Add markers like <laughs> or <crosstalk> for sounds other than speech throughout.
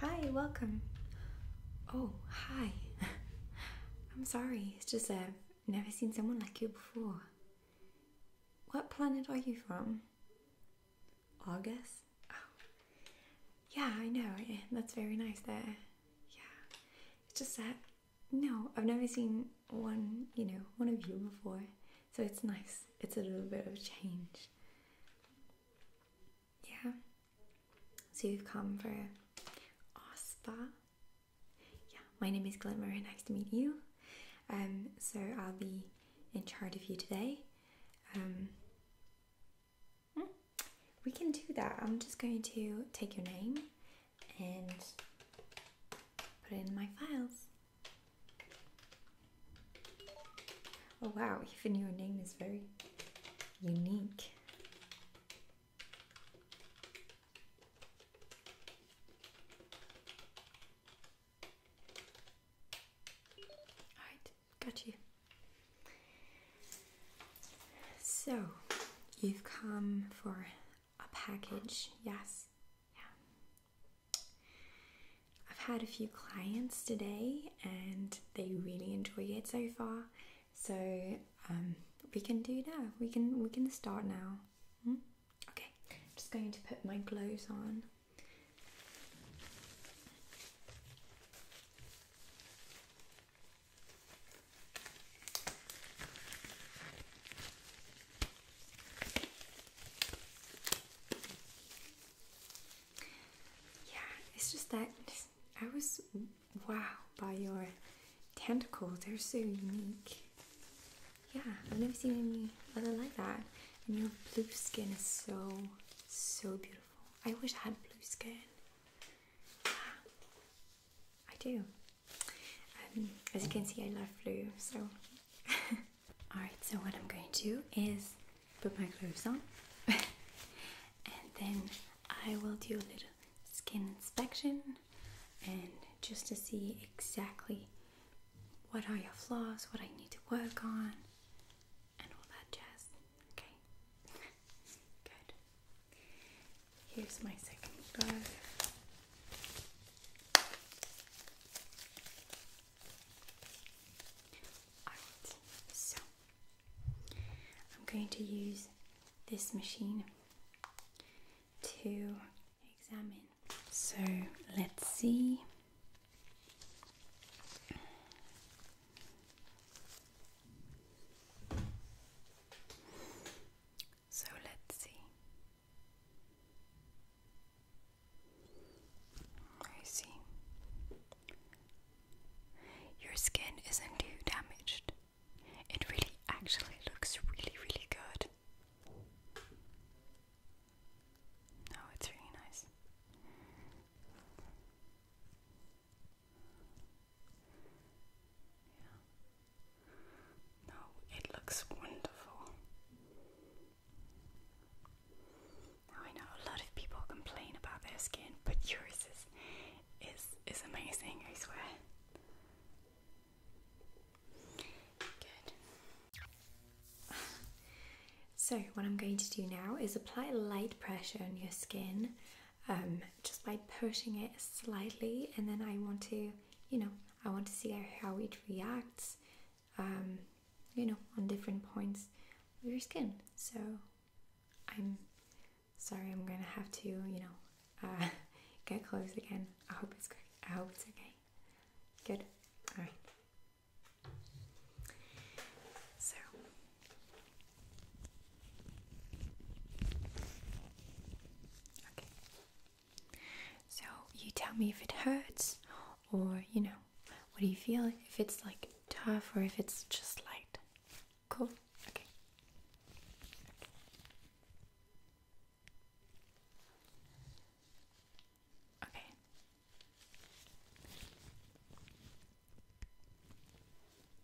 Hi, welcome. Oh, hi. <laughs> I'm sorry, it's just uh, I've never seen someone like you before. What planet are you from? August? Oh. Yeah, I know, that's very nice there. Yeah. It's just that, no, I've never seen one, you know, one of you before. So it's nice. It's a little bit of change. Yeah. So you've come for our Yeah, my name is Glimmer. Nice to meet you. Um, so I'll be in charge of you today. Um, Hmm? We can do that. I'm just going to take your name and put it in my files. Oh wow, even your name is very unique. Alright, got you. So, you've come for a package, yes. Yeah. I've had a few clients today and they really enjoy it so far. So, um, we can do that. We can we can start now. Hmm? Okay. just going to put my gloves on. Yeah, it's just that I was wow by your tentacles, they're so unique. Yeah, I've never seen any other like that. And your blue skin is so, so beautiful. I wish I had blue skin. I do. Um, as you can see, I love blue, so. <laughs> Alright, so what I'm going to do is put my gloves on <laughs> and then I will do a little skin inspection and just to see exactly what are your flaws, what I need to work on, and all that jazz. Okay, good. Here's my second glove. Alright, so I'm going to use this machine to examine. So let's see. So let's see. I see. Your skin isn't too damaged. It really actually looks really, really good. No, oh, it's really nice. No, it looks wonderful. I know a lot of people complain about their skin, but yours is is is amazing, I swear. Good. So, what I'm going to do now is apply light pressure on your skin um, just by pushing it slightly, and then I want to, you know, I want to see how it reacts, um, you know, on different points of your skin. So I'm sorry, I'm gonna have to, you know, uh, <laughs> get close again. I hope it's good. I hope it's okay. Good. All right. So Okay. So you tell me if it hurts or you know, what do you feel? If it's like tough or if it's just light. Cool. Okay. Okay.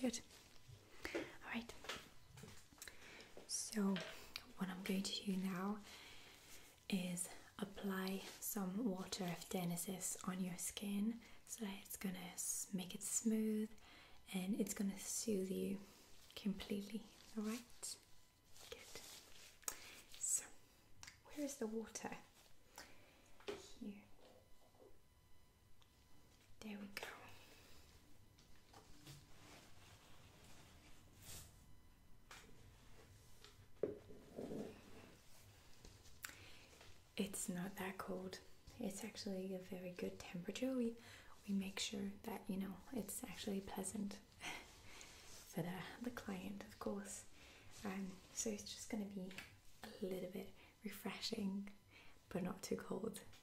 Good. All right. So, what I'm going to do now is apply some water of Genesis on your skin so it's gonna make it smooth and it's gonna soothe you completely. All right. Good. So, where is the water? Here. There we go. It's not that cold. It's actually a very good temperature. We we make sure that you know it's actually pleasant <laughs> for the the client, of course. Um, so it's just going to be a little bit refreshing, but not too cold.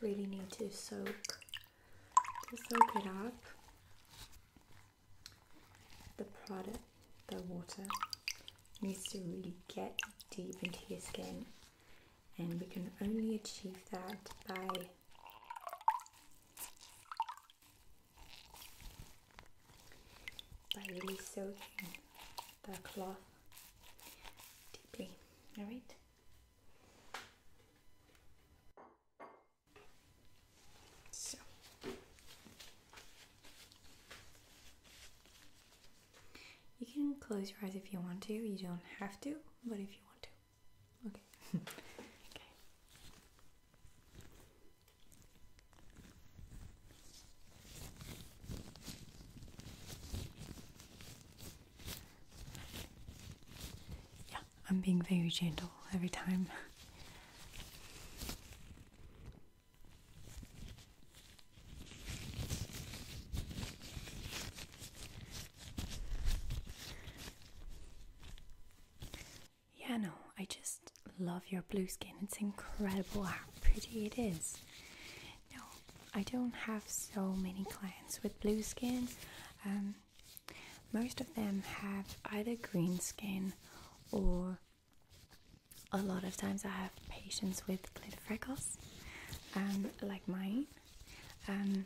really need to soak to soak it up the product the water needs to really get deep into your skin and we can only achieve that by by really soaking the cloth deeply all right so. You can close your eyes if you want to. You don't have to, but if you want to. Okay. <laughs> okay. Yeah, I'm being very gentle every time. Yeah, no, I just love your blue skin. It's incredible how pretty it is. No, I don't have so many clients with blue skin. Um, most of them have either green skin or a lot of times I have patients with glitter freckles, um, like mine. Um,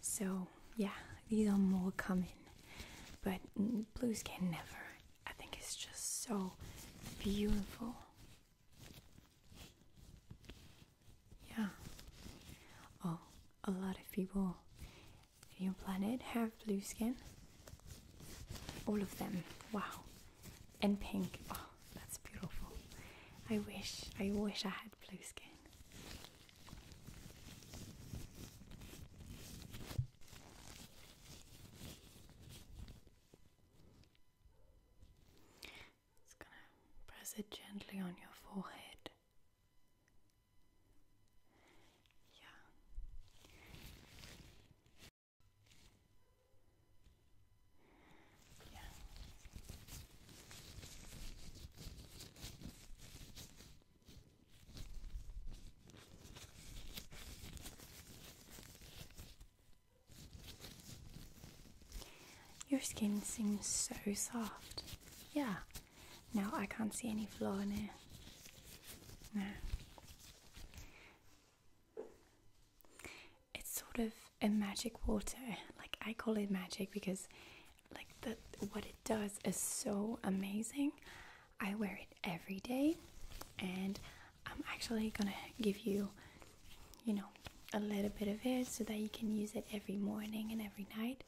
so yeah, these are more common, but blue skin never. I think it's just so beautiful yeah. Oh, a lot of people in your planet have blue skin. All of them. Wow. And pink. Oh, that's beautiful. I wish, I wish I had blue skin. Just gonna press it gently on your forehead. Yeah. Yeah. Your skin seems so soft. Yeah. Now I can't see any flaw in it. No. It's sort of a magic water. Like I call it magic because like the what it does is so amazing. I wear it every day and I'm actually gonna give you you know, a little bit of it so that you can use it every morning and every night.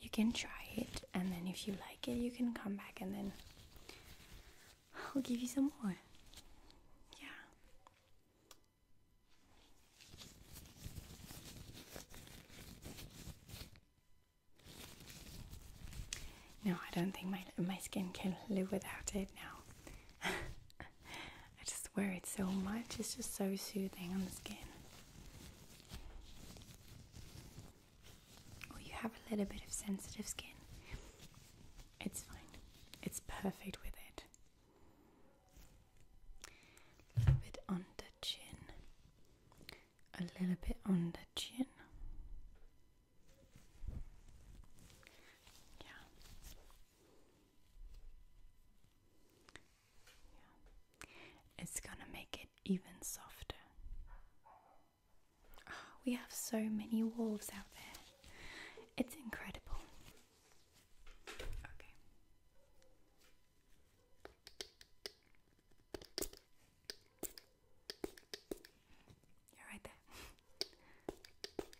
You can try it, and then if you like it, you can come back and then I'll give you some more. Yeah. No, I don't think my my skin can live without it now. <laughs> I just wear it so much, it's just so soothing on the skin. Oh, you have a little bit of sensitive skin. It's fine, it's perfect with it. A little bit on the chin, a little bit on the chin. Yeah, it's gonna make it even softer. Ah, we have so many wolves out there. It's incredible. You're right there.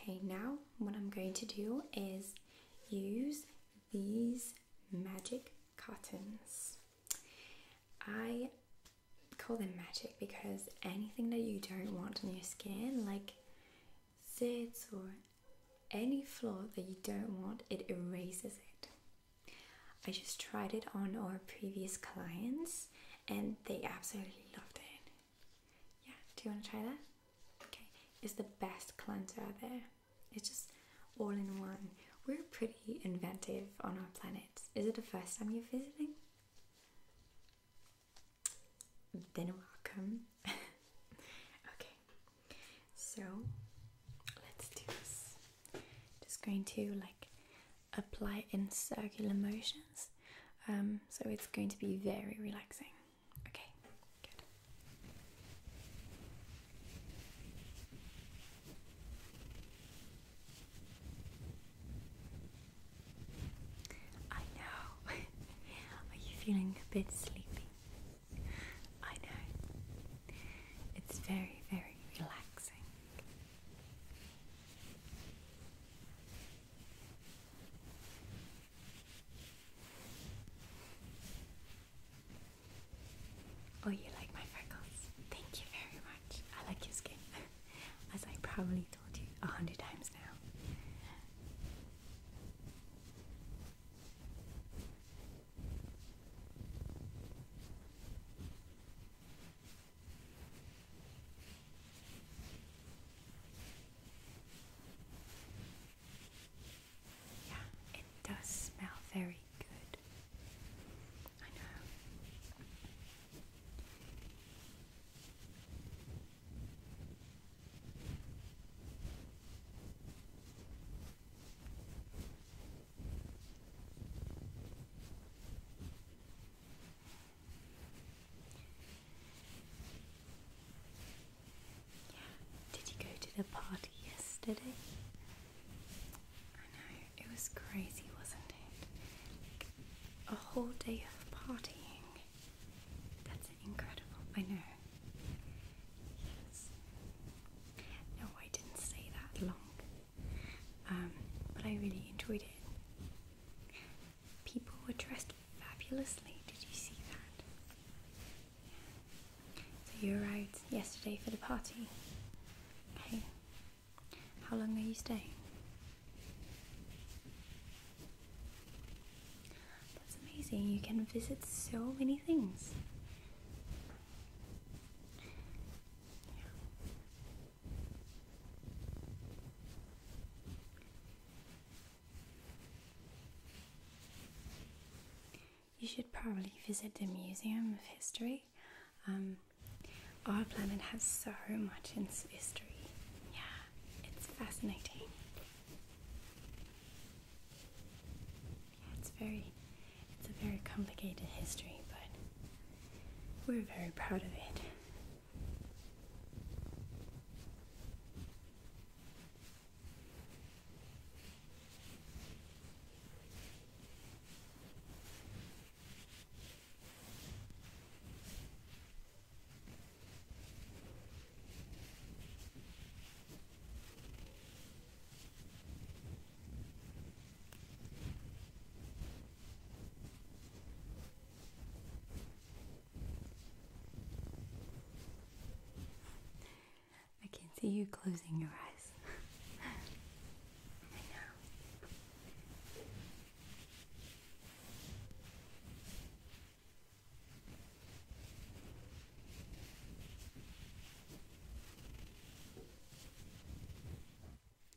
Okay, now what I'm going to do is use these magic cottons. I call them magic because anything that you don't want on your skin, like zits or any flaw that you don't want, it erases it. I just tried it on our previous clients and they absolutely loved it. Yeah, do you want to try that? Okay, it's the best cleanser out there. It's just all in one. We're pretty inventive on our planet. Is it the first time you're visiting? Then welcome. <laughs> okay, so let's do this. Just going to like apply in circular motions. Um, so it's going to be very relaxing. Okay, good. I know. <laughs> Are you feeling a bit sleepy? I know. It's very, very relaxing. Oh, you like my freckles? Thank you very much. I like your skin, <laughs> as I probably told you a hundred times now it does smell very good. I know. Did you go to the party yesterday? I know, it was crazy, wasn't it? a whole day of partying. That's incredible, I know. Yes. No, I didn't stay that long. Um, but I really enjoyed it. People were dressed fabulously. Did you see that? So you arrived yesterday for the party. Okay. How long are you staying? That's amazing. You can visit so many things. You should probably visit the Museum of History. Um, our planet has so much history. Yeah, it's fascinating. Yeah, it's very, it's a very complicated history, but we're very proud of it. I can see you closing your eyes. <laughs> I know.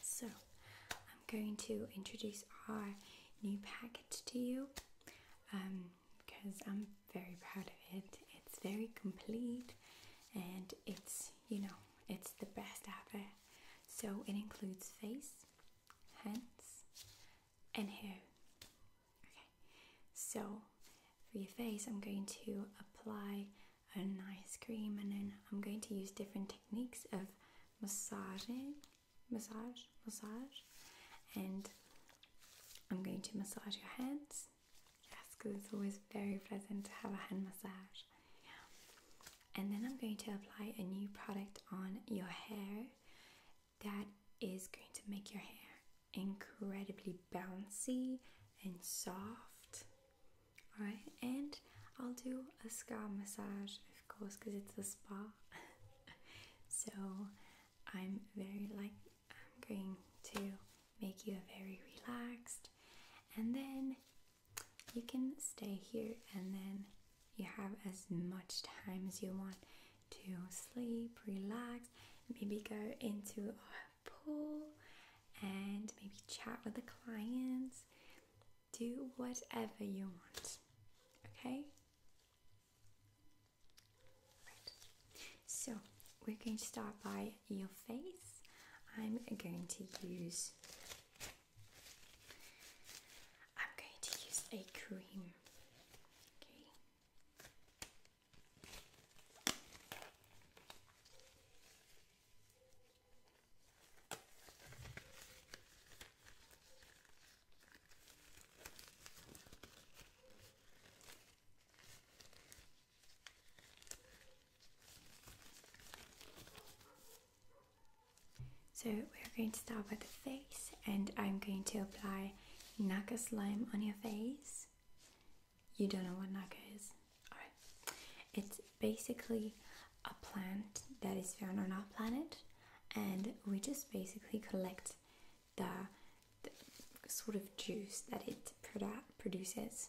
So, I'm going to introduce our new package to you um, because I'm very proud of it. It's very complete and it's, you know, it's the best ever. So, it includes face, hands, and Okay, so for your face, I'm going to apply an ice cream and then I'm going to use different techniques of massaging, massage, massage, and I'm going to massage your hands. Yes, because it's always very pleasant to have a hand massage. Yeah. And then I'm going to apply a new product on your hair that is going to make your hair incredibly bouncy and soft. Alright, and I'll do a scalp massage, of course, because it's a spa. <laughs> so I'm very like, I'm going to make you very relaxed, and then you can stay here and then you have as much time as you want to sleep, relax, maybe go into a pool and maybe chat with the clients. Do whatever you want. Okay? Right. So, we're going to start by your face. I'm going to use I'm going to use a cream. Okay. So we're going to start with the face and I'm going to apply Naka slime on your face. You don't know what Naka is? Alright. It's basically a plant that is found on our planet and we just basically collect the, sort of juice that it produces.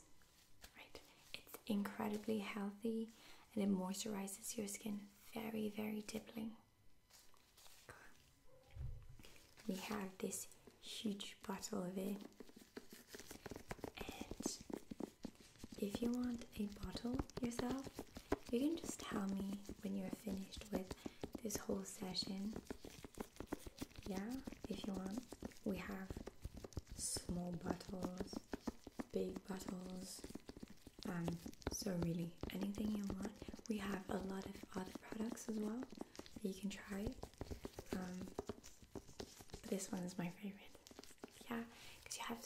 Right. It's incredibly healthy and it moisturizes your skin very very deeply. We have this huge bottle of it, and if you want a bottle yourself, you can just tell me when you're finished with this whole session. Yeah, if you want, we have small bottles, big bottles, um, so really, anything you want. We have a lot of other products as well that you can try. Um, this one is my favorite. Yeah, because you have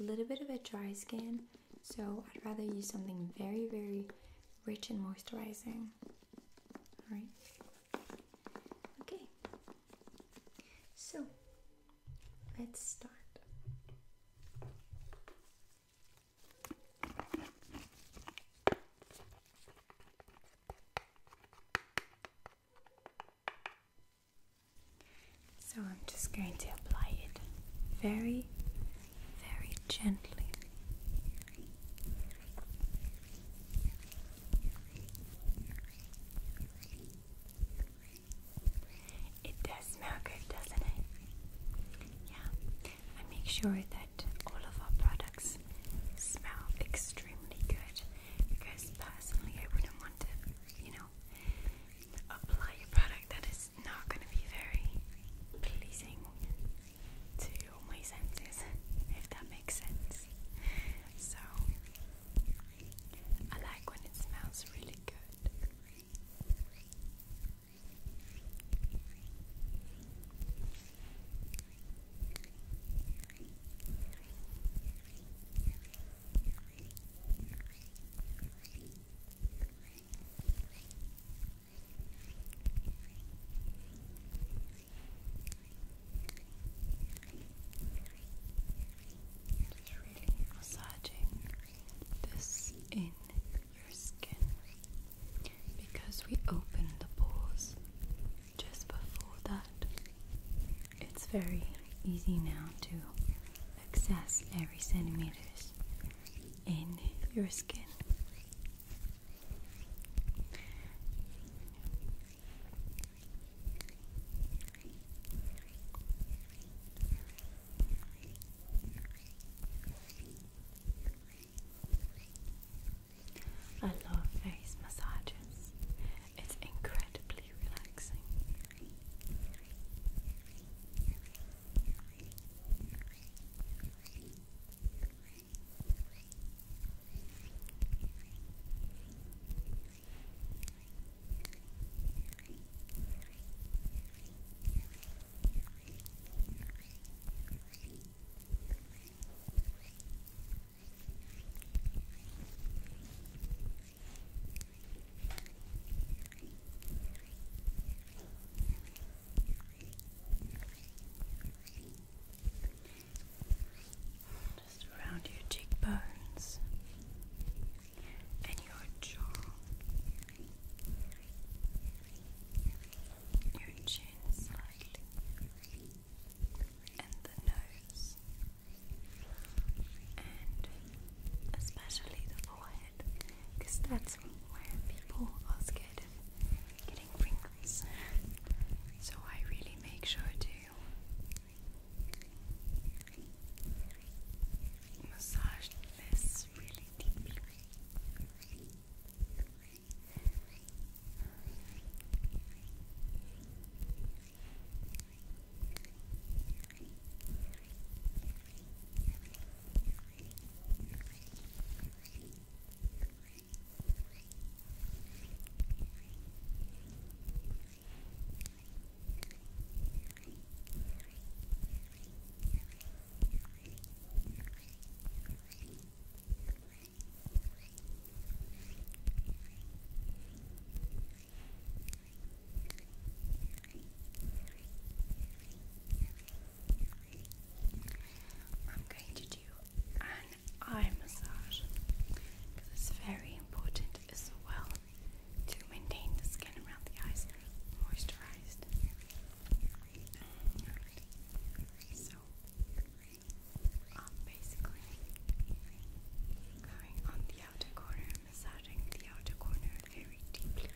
a little bit of a dry skin, so I'd rather use something very, very rich and moisturizing. Alright. Okay. So, let's start. So I'm just going to apply it very, very gently. It does smell good, doesn't it? Yeah. I make sure that all of our products smell extremely good because personally I wouldn't want to, you know, apply a product that is not going to be very pleasing to my senses, if that makes sense. So I like when it smells really good. Massaging this in your skin because we open the pores just before that. It's very easy now to access every centimeters in your skin. I love face massages. It's incredibly relaxing. Just around your cheekbones and your jaw your chin slightly, and the nose, and especially the forehead, because that's where people are scared of getting wrinkles. So I really make sure to massage this really deeply. I'm going to do an eye massage because it's very important as well to maintain the skin around the eyes moisturized. So, um, basically, going on the outer corner, massaging the outer corner very deeply.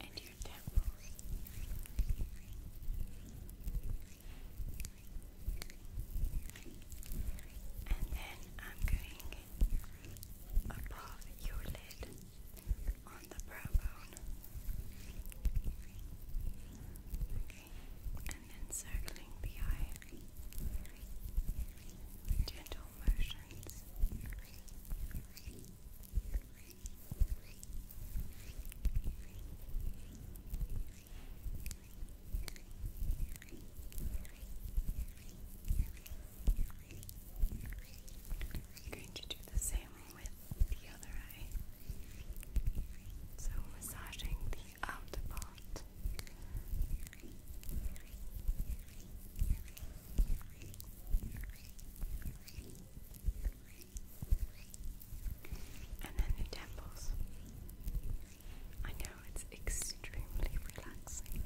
And your temple and then I'm going above your lid on the brow bone. and then circling the eye. Gentle motions. I'm going to do the same with the other eye. So, massaging the outer part. And then the temples. I know it's extremely relaxing.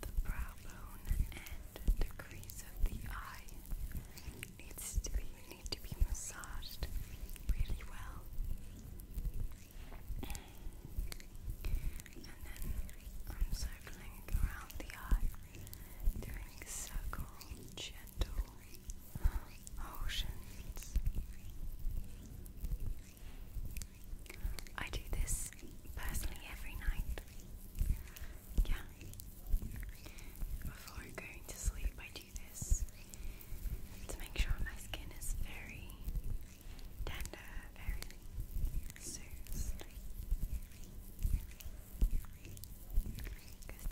the brow bone and the crease of the eye needs to be need to be massaged really well. And then I'm circling around the eye, doing circle, gentle motions. I do this personally every night. Yeah. Before going to sleep, I do this to make sure my skin is very tender, very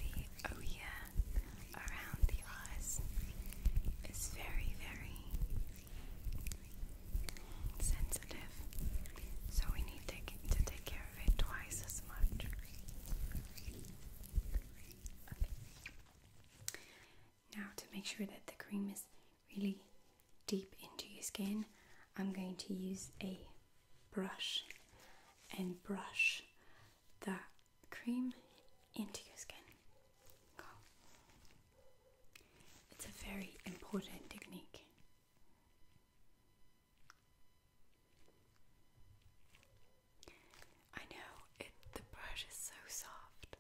the oya around the eyes is very, very sensitive, so we need to, take care of it twice as much. Now to make sure that the cream is really deep into your skin, I'm going to use a brush and brush the cream into your skin. It's a very important technique. I know the brush is so soft.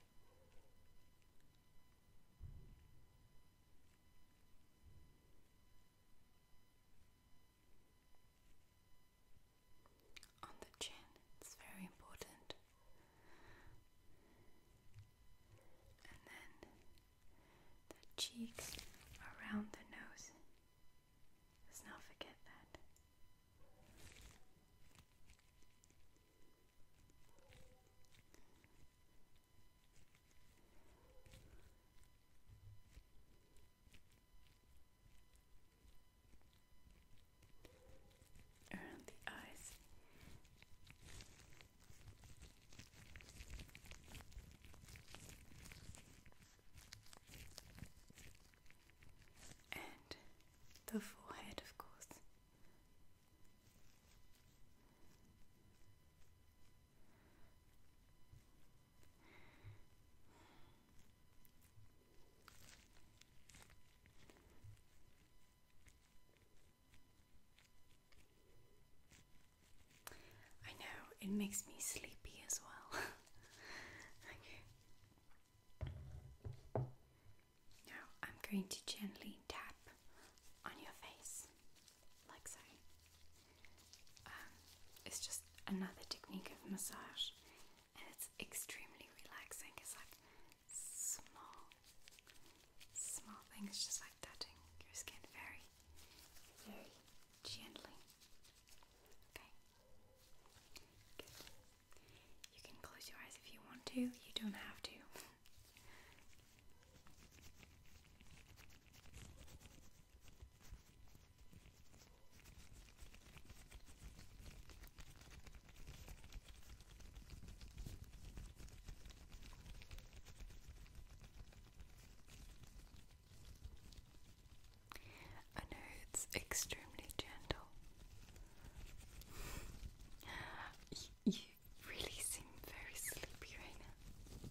On the chin, it's very important. And then the cheeks around the nose. Let's not forget that. Around the eyes. And the forehead, of course, I know it makes me sleepy as well. <laughs> okay. Now I'm going to gently tap on your face, like so. Um, it's just another technique of massage, and it's extremely relaxing. It's like small, small things just like touching your skin very, very gently. Okay, you can close your eyes if you want to, you don't have to. I know it's extremely gentle. <laughs> you, really seem very sleepy right now.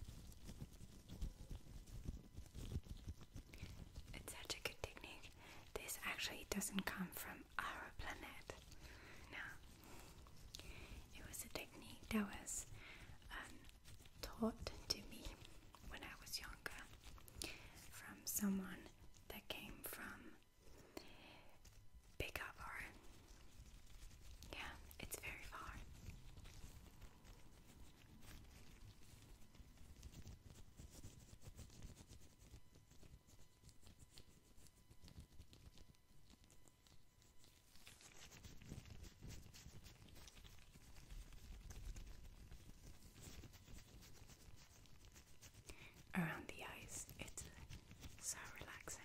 It's such a good technique. This actually doesn't come from our planet. No. It was a technique that was um, taught to me when I was younger from someone that came from Big up or yeah, it's very far. Around the eyes, it's so relaxing.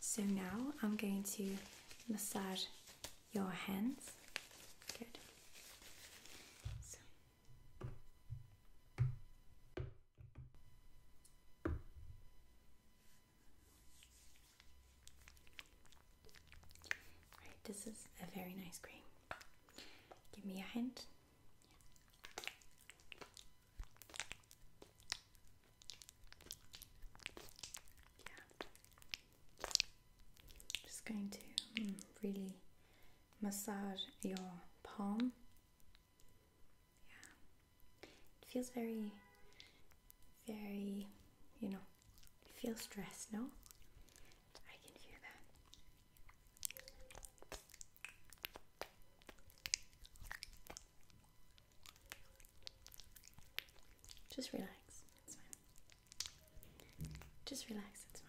So now I'm going to massage your hands. Good. Right, this is a very nice cream. Give me a hint. Yeah. Just going to mm, really massage your palm. Yeah. It feels very, very, you know, feel stressed. no? I can feel that. Just relax. It's fine. Just relax. It's fine.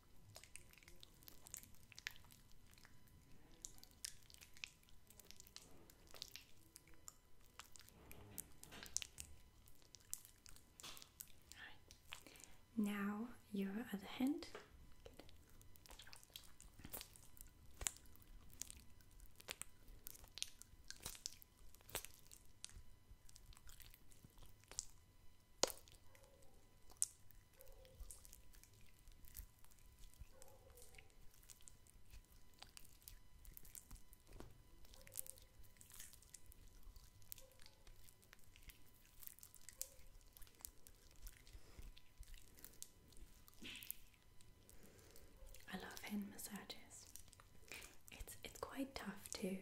Now your other hand. I love hand massages. It's it's quite tough too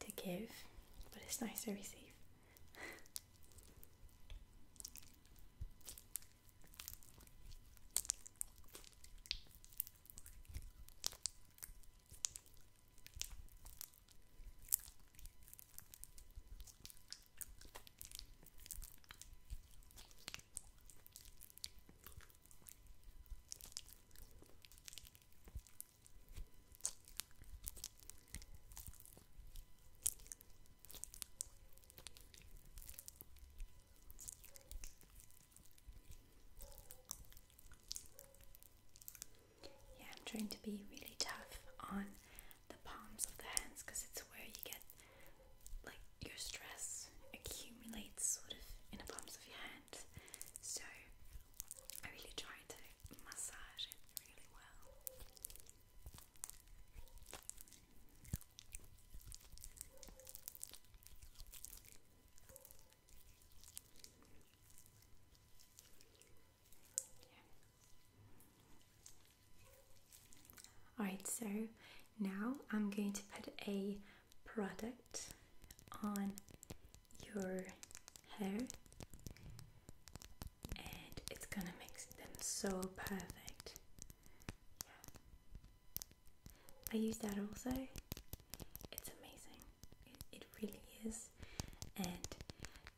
to give, but it's nice to receive. Yeah, I'm trying to be really tough on the palms of the hands because it's where you get like your stress accumulates sort of in the palms of your hand. So I really try to massage it really well. Alright, so now I'm going to put a product on your hair and it's gonna make them so perfect. I use that also. It's amazing. it really is. And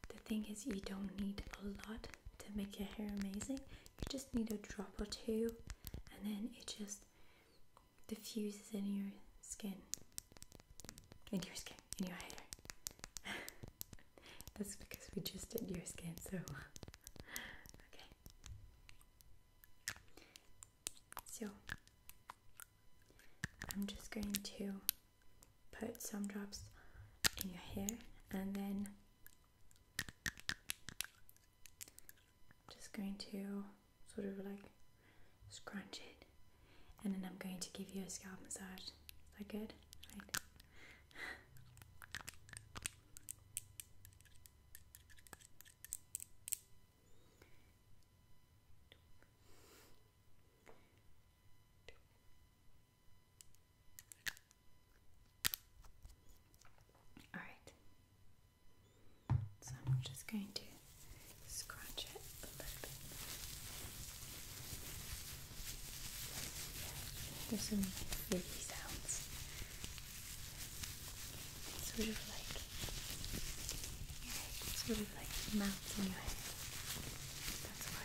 the thing is you don't need a lot to make your hair amazing. You just need a drop or two and then it just diffuses in your skin. Into your skin into your hair. <laughs> That's because we just did your skin, so <laughs> okay. So I'm just going to put some drops in your hair and then just going to sort of like scrunch it, and then I'm going to give you a scalp massage. Is that good? All right. So I'm just going to scratch it a little bit. There's some like sounds. Sort of like yeah. sort of like melts in your head. That's why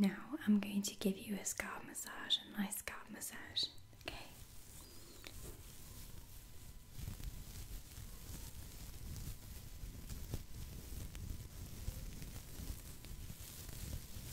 Now I'm going to give you a scalp massage, a nice scalp massage. Okay.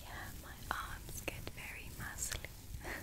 Yeah, my arms get very muscly. <laughs>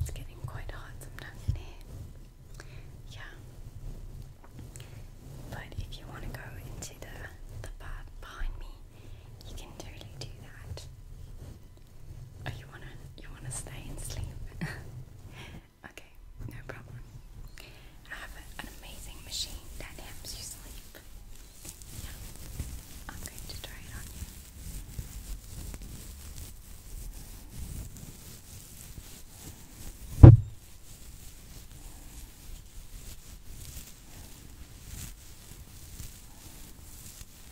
It's getting quite hot sometimes in here. Yeah. But if you want to go into the the bath behind me, you can totally do that. Oh, you wanna you wanna stay and sleep? <laughs> okay, no problem. I have an amazing machine that helps you sleep. Yeah, I'm going to try it on you.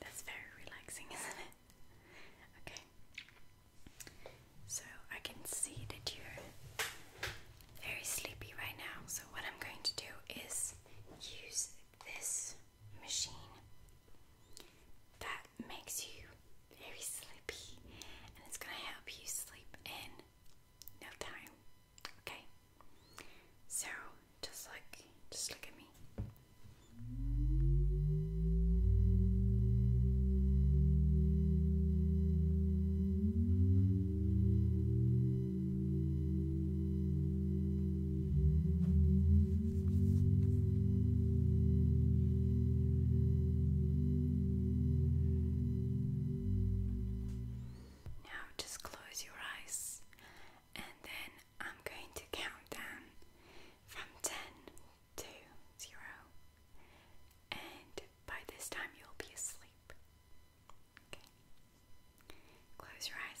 That's very relaxing, <laughs> isn't it? Okay. So I can see that you're very sleepy right now. So what I'm going to do is use this machine that makes you very sleepy and it's going to help you sleep in no time. Okay. So just like just look at me. Now just close your eyes and then I'm going to count down from 10 to 0. And by this time you'll be asleep. Okay. Close your eyes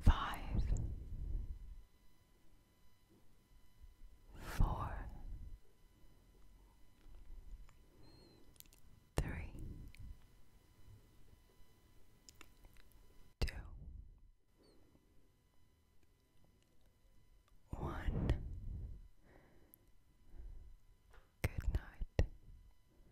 Five, four, three, two, one. Good night.